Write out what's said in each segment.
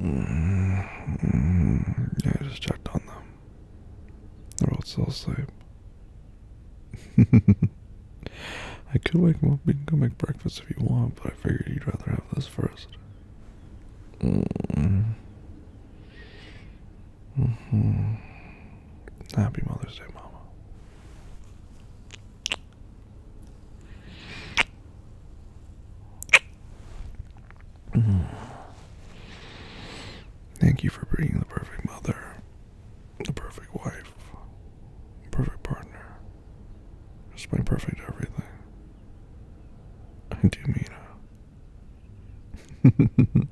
Mm-hmm. yeah, I just checked on them. They're all still asleep. I could wake them up. We can go make breakfast if you want, but I figured you'd rather have this first. Mm. -hmm. Happy Mother's Day, Mama. Mm. Thank you for being the perfect mother, the perfect wife, the perfect partner, just my perfect everything. I do mean it.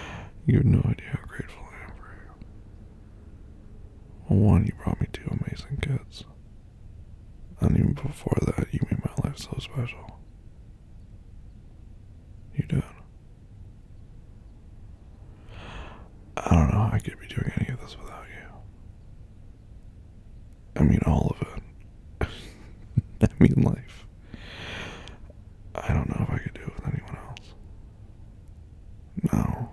you have no idea how grateful I am for you. Well, one, you brought me two amazing kids. And even before that, you made my life so special. You did. I don't know how I could be doing any of this without you. I mean, all of it. I mean, life. I don't know if I could do it with anyone else. No,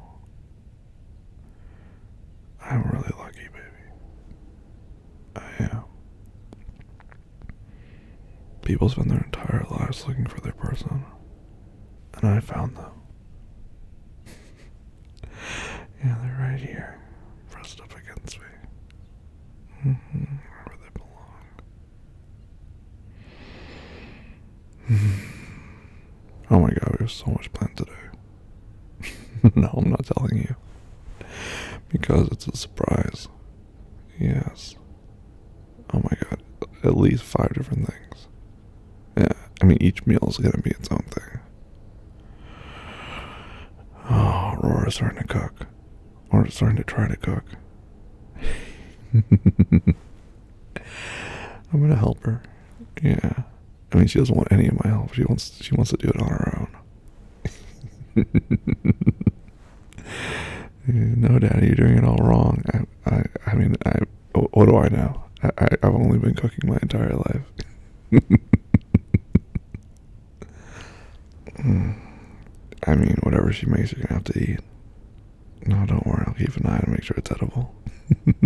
I'm really lucky, baby. I am. People spend their entire lives looking for their person, and I found them. yeah, they're right here, pressed up against me. Mm-hmm, where they belong. oh my god, we have so much planned to do. no, I'm not telling you. Because it's a surprise. Yes. Oh my god. At least five different things. Yeah, I mean, each meal is gonna be its own thing. Oh, Aurora's starting to cook. Or starting to try to cook. I'm gonna help her. Yeah. I mean, she doesn't want any of my help. She wants she wants to do it on her own. no, Daddy, you're doing it all wrong. I I, I mean, I what do I know? I, I have only been cooking my entire life. Hmm. I mean, whatever she makes, you're gonna have to eat. No, don't worry. I'll keep an eye to make sure it's edible.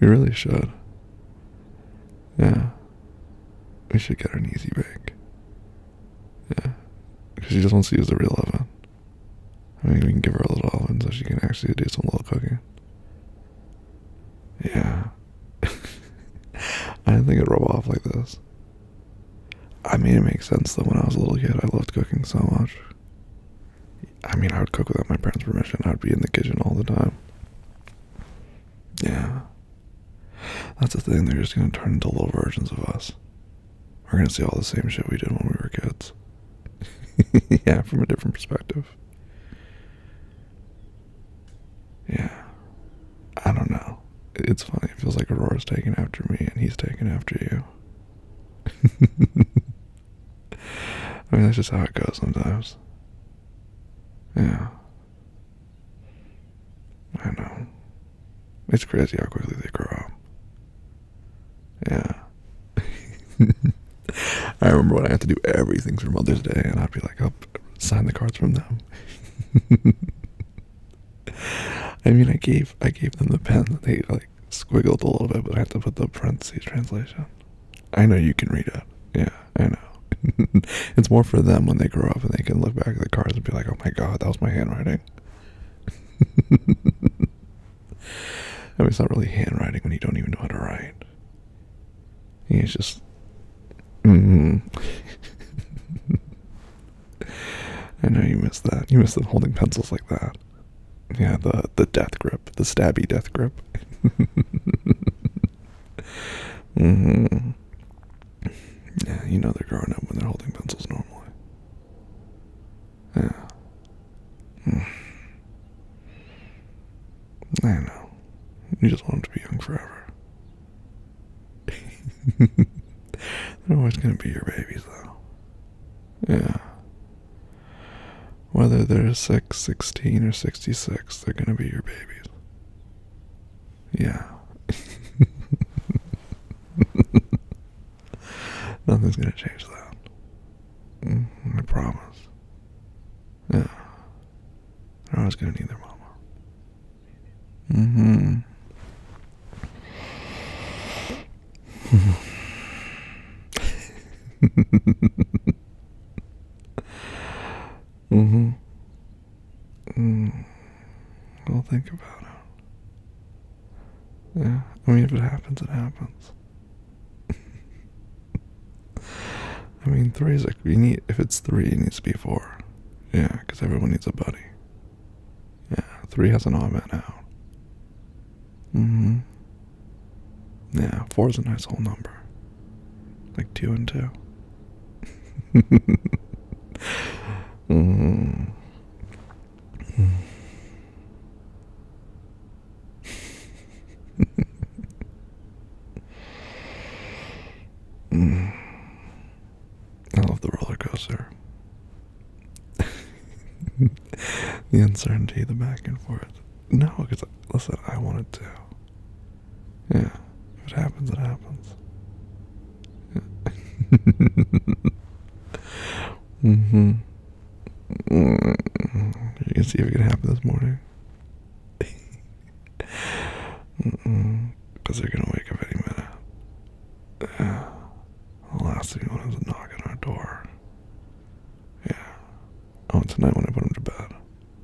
we really should. Yeah. We should get an easy bake. Yeah. Because she just wants to use the real oven. I mean, we can give her a little oven so she can actually do some little cooking. Yeah. I didn't think it'd rub off like this. I mean, it makes sense though. When I was a little kid, I loved cooking so much. I mean, I would cook without my parents' permission. I would be in the kitchen all the time. Yeah. That's the thing. They're just going to turn into little versions of us. We're going to see all the same shit we did when we were kids. yeah, from a different perspective. Yeah. I don't know. It's funny. It feels like Aurora's taking after me and he's taking after you. I mean, that's just how it goes sometimes. Yeah. I know. It's crazy how quickly they grow up. Yeah. I remember when I had to do everything for Mother's Day, and I'd be like, I'll sign the cards from them. I mean, I gave I gave them the pen that they like squiggled a little bit, but I had to put the parentheses translation. I know you can read it. Yeah, I know. it's more for them when they grow up and they can look back at the cards and be like, oh my god, that was my handwriting. I mean, it's not really handwriting when you don't even know how to write. Yeah, it's just. Mm-hmm. I know you miss that. You miss them holding pencils like that. Yeah, the the death grip, the stabby death grip. Mm-hmm. Yeah, you know they're growing up when they're holding pencils normally. Yeah. Mm. I know. You just want them to be young forever. they're always gonna be your babies, though. Yeah. Whether they're 6, 16, or 66, they're going to be your babies. Yeah. Nothing's going to change that. Mm-hmm, I promise. Yeah. They're always going to need their mama. Mm hmm mm-hmm. Mm. hmm i will think about it. Yeah, I mean, if it happens, it happens. I mean, three is like we need. If it's three, it needs to be four. Yeah, because everyone needs a buddy. Yeah, three has an odd man out. Mm-hmm. Yeah, four is a nice whole number. Like two and two. Mm-hmm. mm. I love the roller coaster. the uncertainty, the back and forth. No, because listen, I want it to. Yeah, if it happens, it happens. Yeah. mhm. you can see if it can happen this morning. Because mm -mm, they're gonna wake up any minute last thing you want is a knock on our door. Yeah. Oh, tonight when I put him to bed.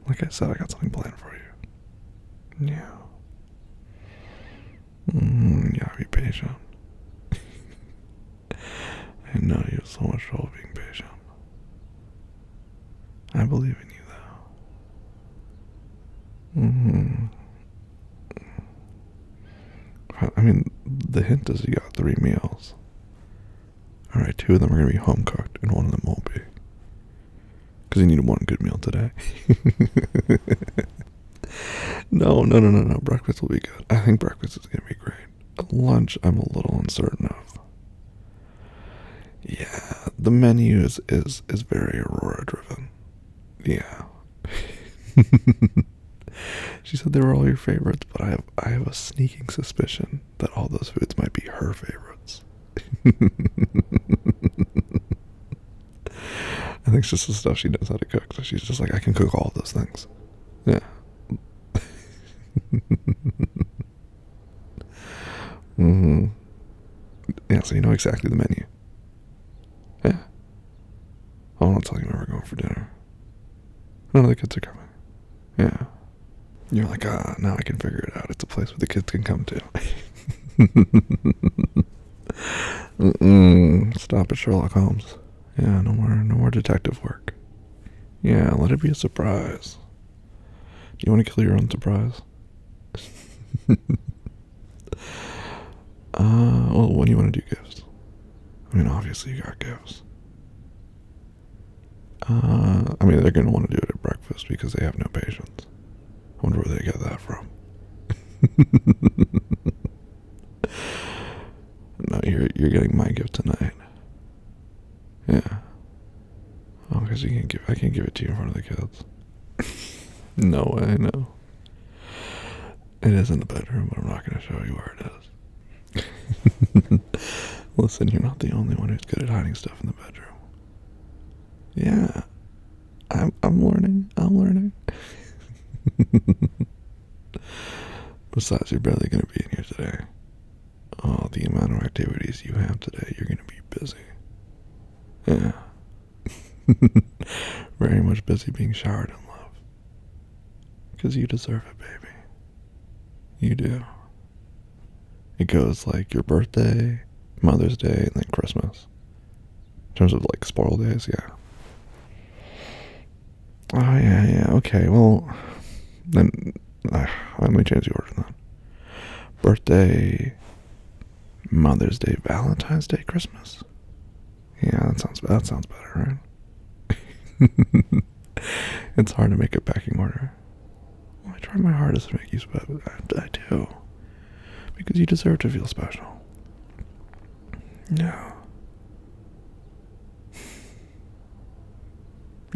Like I said, I got something planned for you. Yeah. Mm, mm-hmm. yeah, be patient. I know you have so much trouble being patient. I believe in you, though. Mm-hmm. I mean, the hint is you got three meals. Alright, two of them are going to be home cooked, and one of them won't be. Because you need one good meal today. no, no, no, no, no. Breakfast will be good. I think breakfast is going to be great. Lunch, I'm a little uncertain of. Yeah, the menu is, is, is very Aurora driven. Yeah. she said they were all your favorites, but I have I have a sneaking suspicion that all those foods might be her favorites. I think it's just the stuff she knows how to cook. So she's just like, I can cook all those things. Yeah. hmm Yeah, so you know exactly the menu. Yeah. I want to tell you where we're going for dinner. None of the kids are coming. Yeah. You're like, ah, now I can figure it out. It's a place where the kids can come to. Stop at Sherlock Holmes. Yeah, no more, no more detective work. Yeah, let it be a surprise. Do you want to kill your own surprise? Uh, well, what do you want to do gifts? I mean, obviously you got gifts. Uh, I mean, they're gonna want to do it at breakfast because they have no patience. I wonder where they get that from. no, you're you're getting my gift tonight. Yeah. Oh, because you can give I can't give it to you in front of the kids. no I know. It is in the bedroom, but I'm not going to show you where it is. Listen, you're not the only one who's good at hiding stuff in the bedroom. Yeah, I'm I'm learning. I'm learning. Besides, you're barely going to be in here today. Oh, the amount of activities you have today, you're going to be busy. Yeah, Very much busy being showered in love. Because you deserve it, baby. You do. It goes like your birthday, Mother's Day, and then Christmas. In terms of like spoil days, yeah. Oh, yeah, yeah, okay, well, then uh, let me change the order then. Birthday, Mother's Day, Valentine's Day, Christmas. Yeah, that sounds that sounds better, right? it's hard to make a packing order. I try my hardest to make you special. I, I do, because you deserve to feel special. No.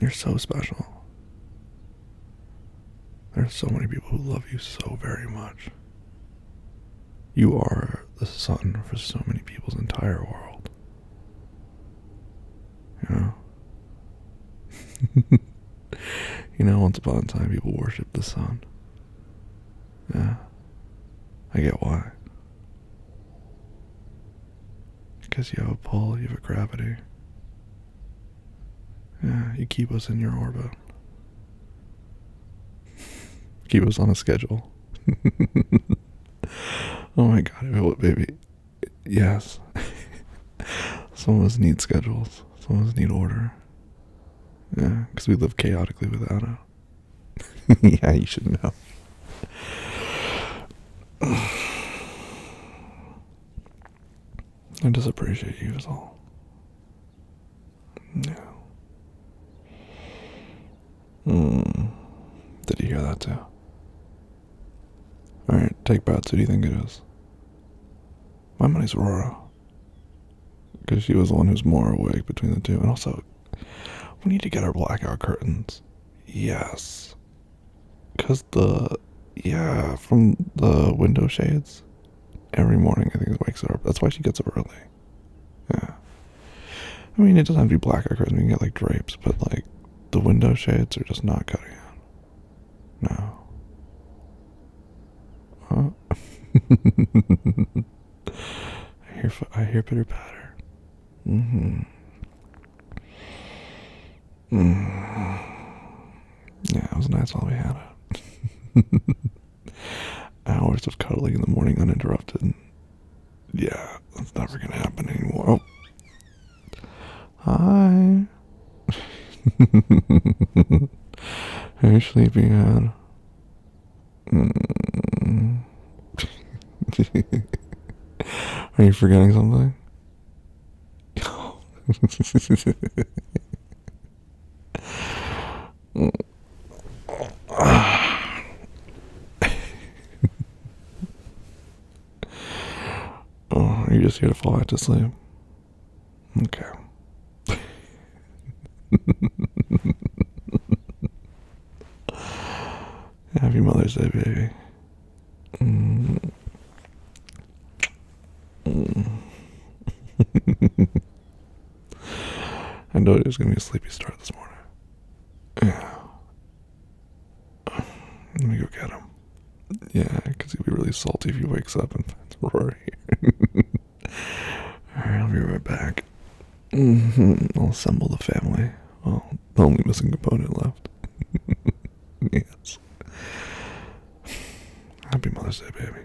You're so special. There's so many people who love you so very much. You are the sun for so many people's entire world. You know? you know, once upon a time, people worshiped the sun. Yeah. I get why. Because you have a pull, you have a gravity. Yeah, you keep us in your orbit. He was on a schedule. oh my god, baby. Yes. Some of us need schedules. Some of us need order. Yeah, because we live chaotically without it. yeah, you should know. I just appreciate you is all. No. Mm. Did you hear that too? Alright, take bets. Who do you think it is? My money's Aurora. Because she was the one who's more awake between the two. And also, we need to get our blackout curtains. Yes. Because the. Yeah, from the window shades every morning, I think, wakes up. That's why she gets up early. Yeah. I mean, it doesn't have to be blackout curtains. We can get like drapes, but like the window shades are just not cutting it. No. Huh? I hear I hear pitter patter. Mm-hmm. Mm. Yeah, it was nice while we had it. Hours of cuddling in the morning uninterrupted. Yeah, that's never gonna happen anymore. Oh. Hi. Are you sleepy, man? Are you forgetting something? oh, you just here to fall back to sleep. Okay. Happy Mother's Day, baby. Mm. I know it was gonna be a sleepy start this morning. Yeah. Let me go get him. Yeah, because he'd be really salty if he wakes up and finds Rory. Alright, I'll be right back. Mm-hmm. I'll assemble the family. Well, the only missing component left. yes. Happy Mother's Day, baby.